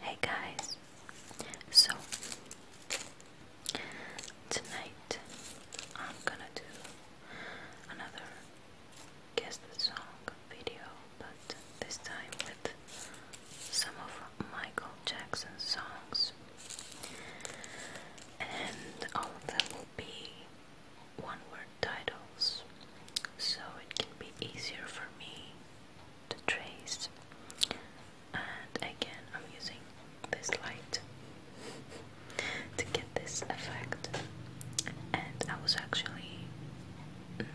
Hey guys, so tonight I'm gonna do another guess the song video, but this time with some of Michael Jackson's songs, and all of them will be one word titles so it can be easier for me to trace and again I'm using this light to get this effect and I was actually mm,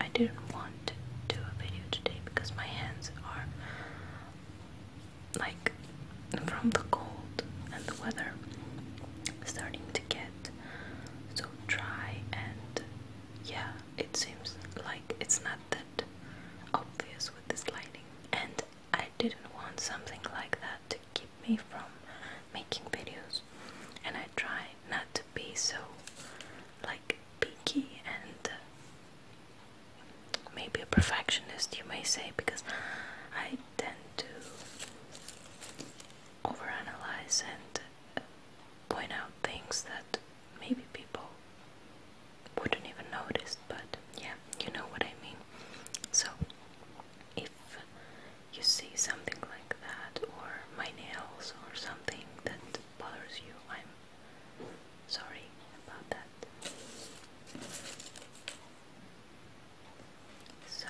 I didn't want to do a video today because my hands are like from the cold and the weather starting to get so dry and yeah, it seems like it's not that obvious with this lighting. And I didn't want something like that to keep me from making videos. And I try not to be so like picky and uh, maybe a perfectionist, you may say, because I tend to overanalyze and point out things that maybe people wouldn't even notice, but yeah, you know what I mean. So, if you see something like that, or my nails, or something that bothers you, I'm sorry about that. So,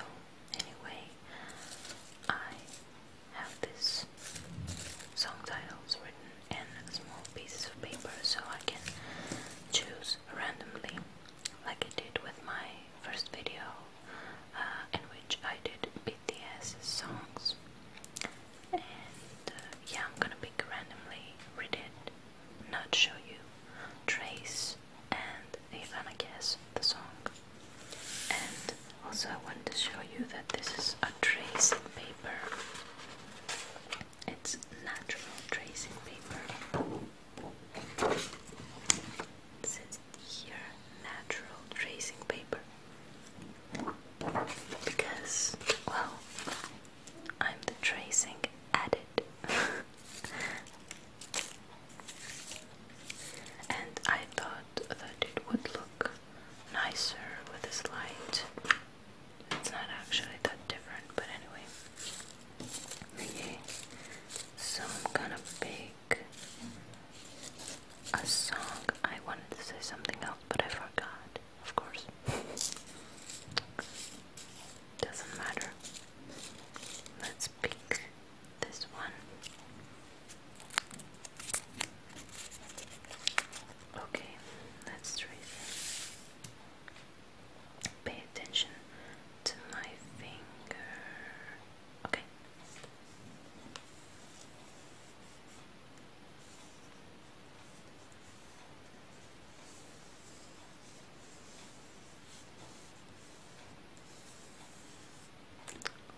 anyway, I have these song titles written in small pieces of paper so I can choose randomly, like I did with my first video uh, in which I did BTS songs. And uh, yeah, I'm gonna pick randomly, read it, not show you, trace, and if I'm a guess the song. And also I want to show you that this is a tracing paper. It's natural tracing paper. It says here natural tracing paper. Because, well, I'm the tracing addict. and I thought that it would look nicer with this light. It's not actually that different, but anyway. Okay, so I'm gonna pick a song. I wanted to say something else, but I forgot, of course. Doesn't matter. Let's pick this one. Okay, let's trace Pay attention to my finger. Okay.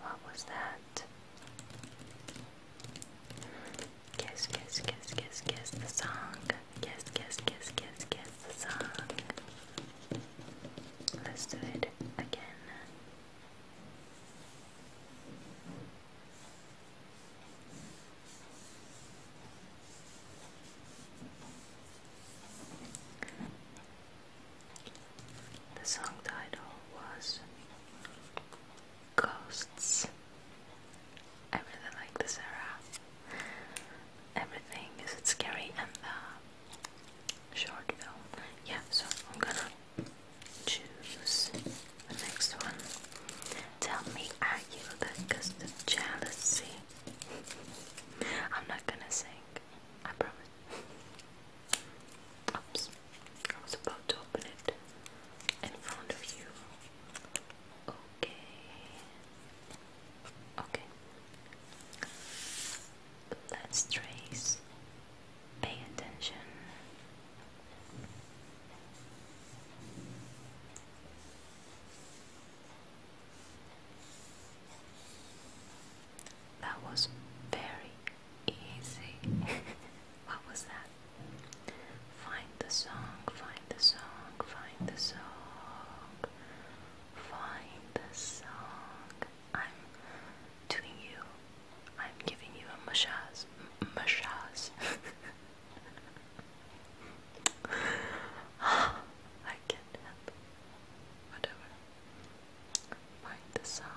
What was that? Kiss, kiss, kiss, kiss, kiss the song. Kiss, kiss, kiss, kiss, kiss the song. Let's do it again. The song title was Ghosts. I really like this era. Everything is it scary and the uh, short film. Yeah, so I'm gonna choose the next one. Tell me, are you the ghost of jealousy? I'm not gonna sing, I promise. Oops, I was about to open it in front of you. Okay, okay. Let's trace. Pay attention. That was very easy. what was that? Find the song, find the song, find the song, find the song. I'm doing you, I'm giving you a massage. Massage. I can't help. Whatever like the song.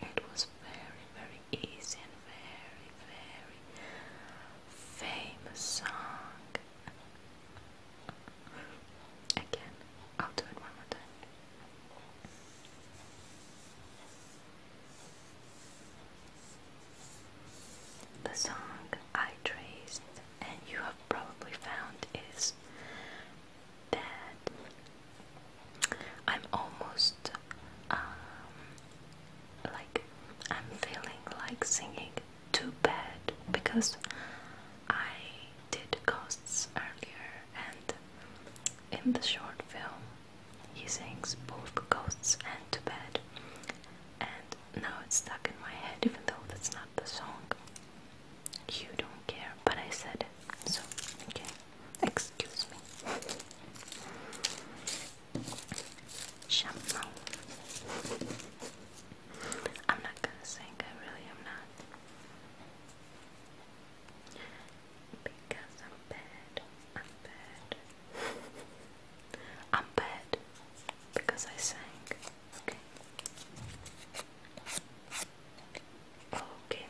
It was very, very easy and very, very famous song. Again, I'll do it one more time. The song I traced and you have probably found is that I'm almost um, like I'm feeling like singing too bad because I did ghosts earlier and in the short film he sings both ghosts and too bad and now it's stuck in my head even though that's not the song you don't care, but I said it. So, okay. Excuse me. Shampoo. I'm not gonna sing, I really am not. Because I'm bad. I'm bad. I'm bad because I sang. Okay. Okay.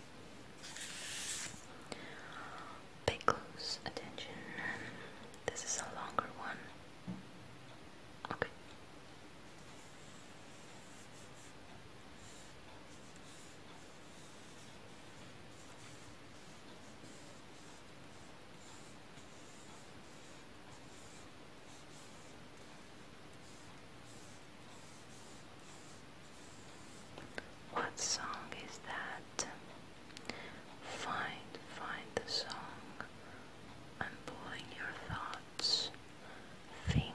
Pay close attention. This is a longer one. Okay. What song is that? Find, find the song. I'm pulling your thoughts. Think,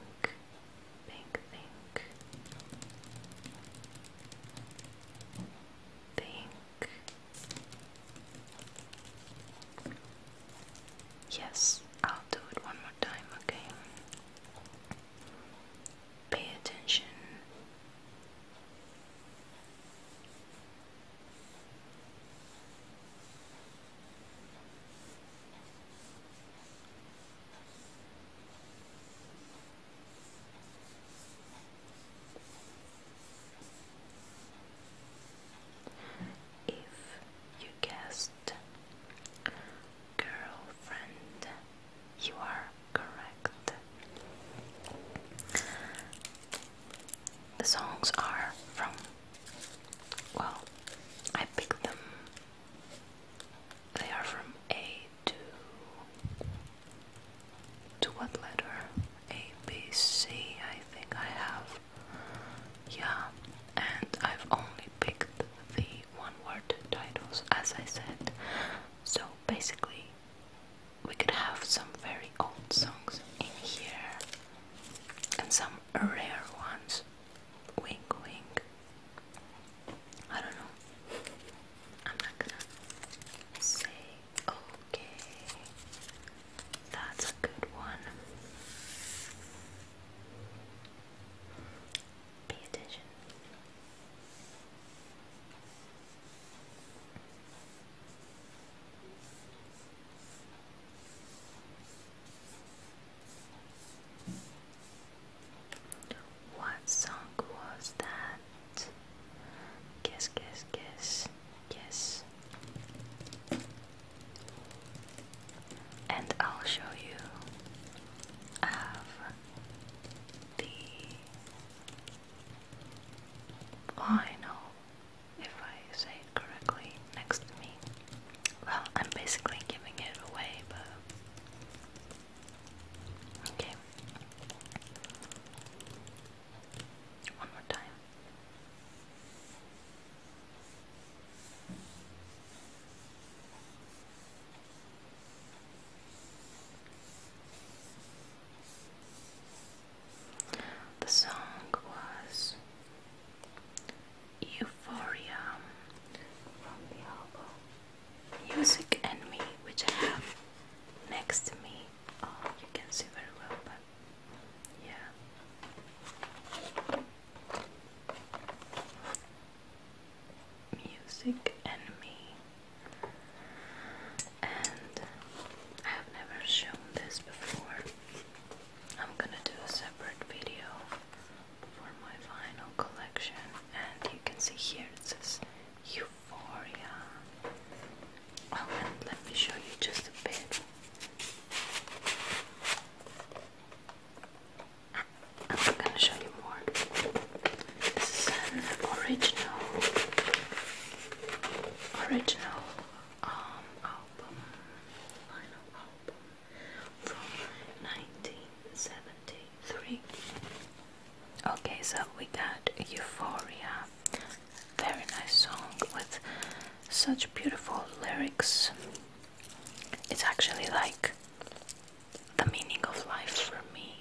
think, think. Think. Yes, I'll do it one more time, okay? Pay attention. If you guess girlfriend. You are correct. The songs are from, well, I picked them. They are from A to to what letter? A B C I think I have. Yeah, and I've only picked the one word titles, as I said. So basically, we could have some very old songs in here and some rare ones. Wink, wink. I don't know. I'm not gonna say okay. That's a good one. Pay attention. What song was that? Guess, guess, guess, guess and I'll show you of the final, if I say it correctly, next to me. Well, I'm basically giving it away, but okay. One more time. The song was Euphoria from the album Music and Me, which I have next to me. Oh, you can see very well, but yeah. Music and Me. And I have never shown this before. I'm gonna do a separate video for my vinyl collection, and you can see here it says Euphoria. Oh, and let me show you just a bit. I'm gonna show you more. This is an original, original um, album, vinyl album from 1973. Okay, so we got Euphoria, very nice song with such beautiful lyrics. It's actually like the meaning of life for me,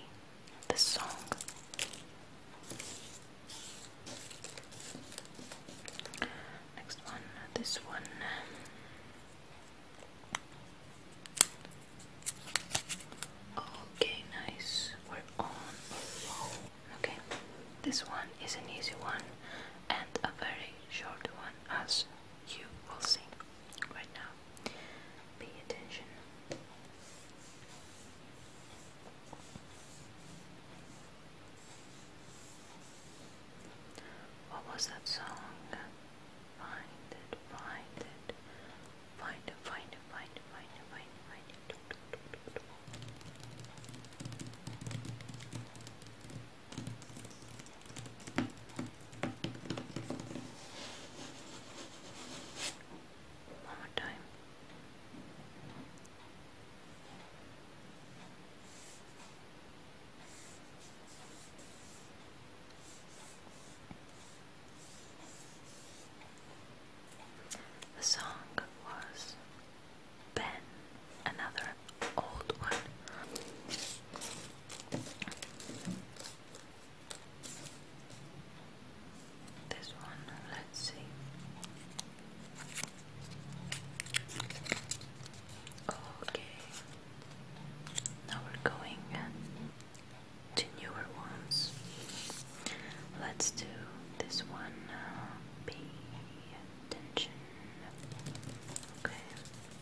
this song. Next one, this one. Okay, nice. We're on Okay, this one is an easy one and a very short one as you will sing right now. Pay attention. What was that song? find it, find it, find it, find it, find it, find it. Find it. One more time. The song was Ben, another old one. This one, let's see. Okay, now we're going uh, to newer ones. Let's do this one. Uh, attention. Okay.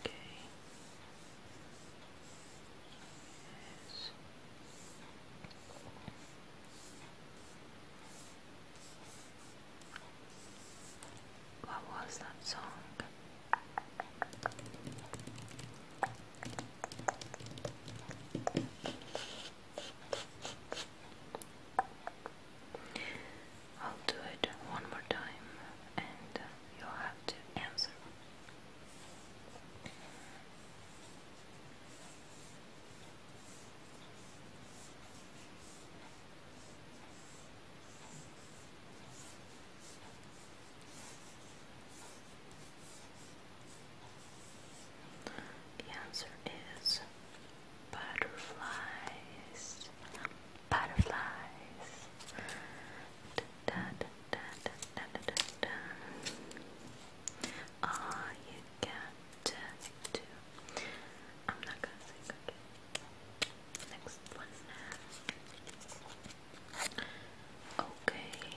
Okay. What was that song? I'll do it one more time and you'll have to answer. The answer is butterflies. Butterflies. Da, da, da, da, da, da, da. All you got to I'm not gonna sing okay. Next one. Okay.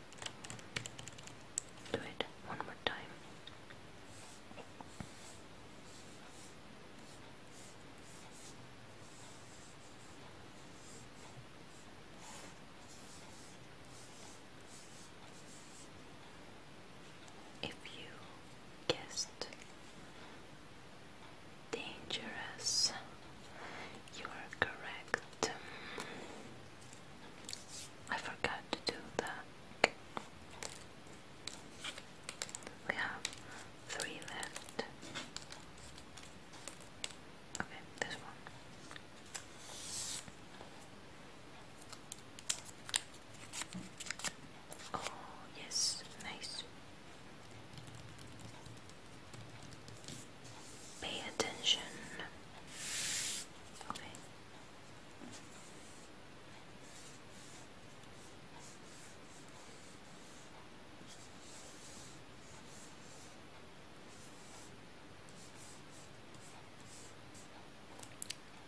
Do it one more time. If you guessed dangerous, you are correct. I forgot to do that. We have three left. Okay, this one. Oh, yes, nice pay attention. Okay.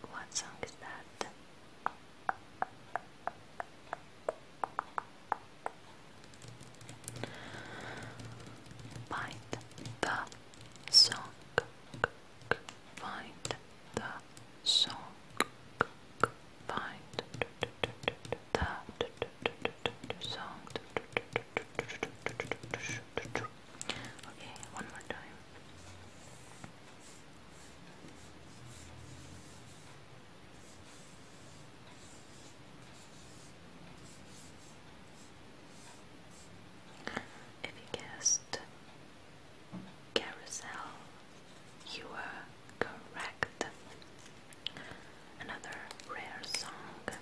What song is that? Find the song. Find the song. Find the song. Okay, one more time. If you guessed carousel, you were correct. Another rare song.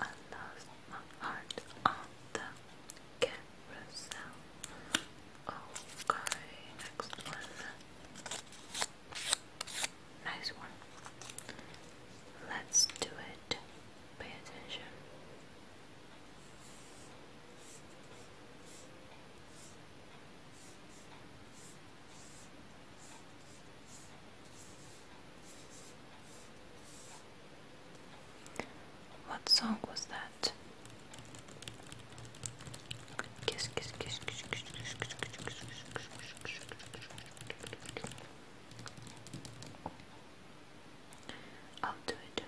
I lost heart on the carousel. Okay, next one. Nice one. Let's do it. Pay attention. What song was that? that. Kiss, kiss, kiss, kiss, kiss, kiss, kiss, kiss, kiss, I'll do it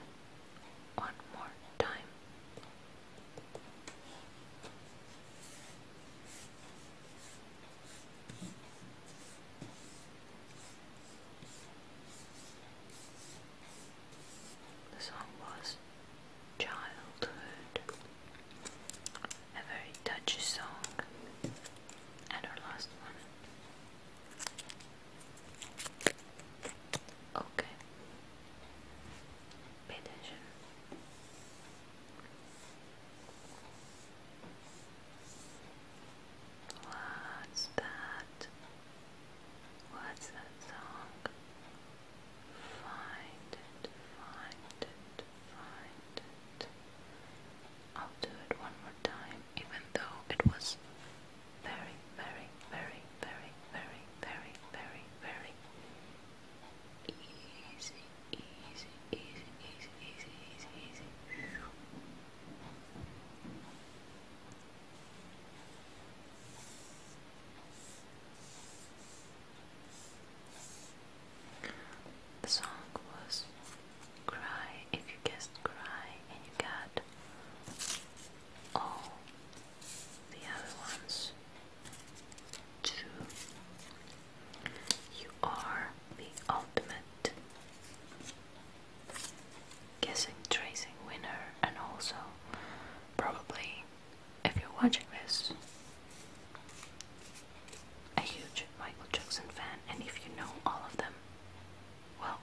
one more time. The song was Childhood, a very touchy song, and our last one. Okay, pay attention. What's that? What's that song? Find it, find it, find it. I'll do it one more time, even though it was very, very, very, very, very, very, very, very easy, easy, easy, easy, easy, easy, easy. The song was Cry if you guessed Cry and you got all the other ones too. You are the ultimate guessing tracing winner and also probably if you're watching this, a huge Michael Jackson fan, and if you know all of them, well,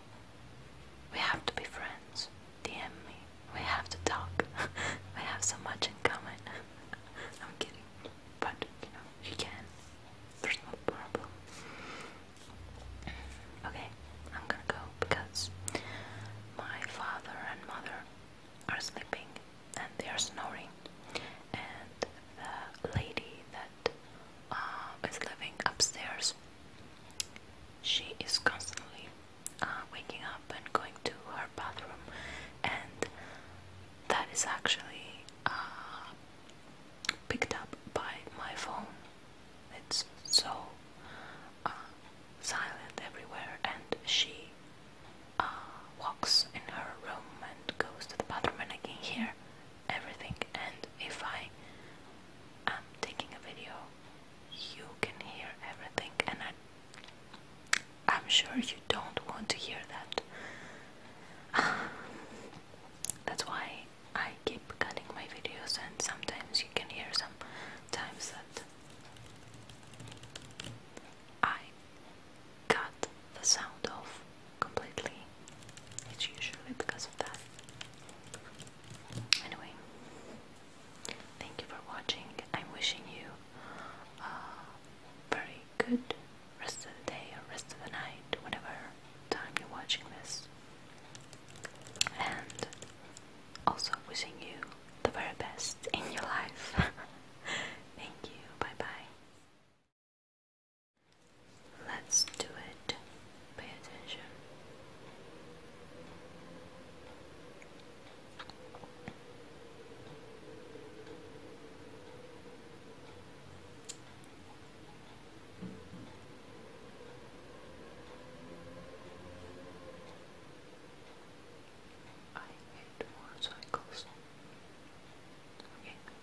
we have to be friends. DM me. We have to talk. we have so much in common. I'm kidding. But, you know, you can. There's no problem. Okay, I'm gonna go because my father and mother are sleeping and they are snoring, and the lady that uh, is living upstairs, she is constantly uh, waking up and going to her bathroom, and that is actually uh, picked up by my phone. It's so silent everywhere, and she uh, walks in her room and goes to the bathroom, and I can hear everything. And if I am taking a video, you can hear everything, and I, I'm sure you don't want to hear that. That's why I keep cutting my videos, and sometimes you can hear some times that I cut the sound off completely. It's usually because of that. Anyway, thank you for watching. I'm wishing you a very good rest of the day or rest of the night, whatever time you're watching this. And also wishing you the very best in your life. Thank you. Bye bye. Let's do it. Pay attention. I hate motorcycles. Okay.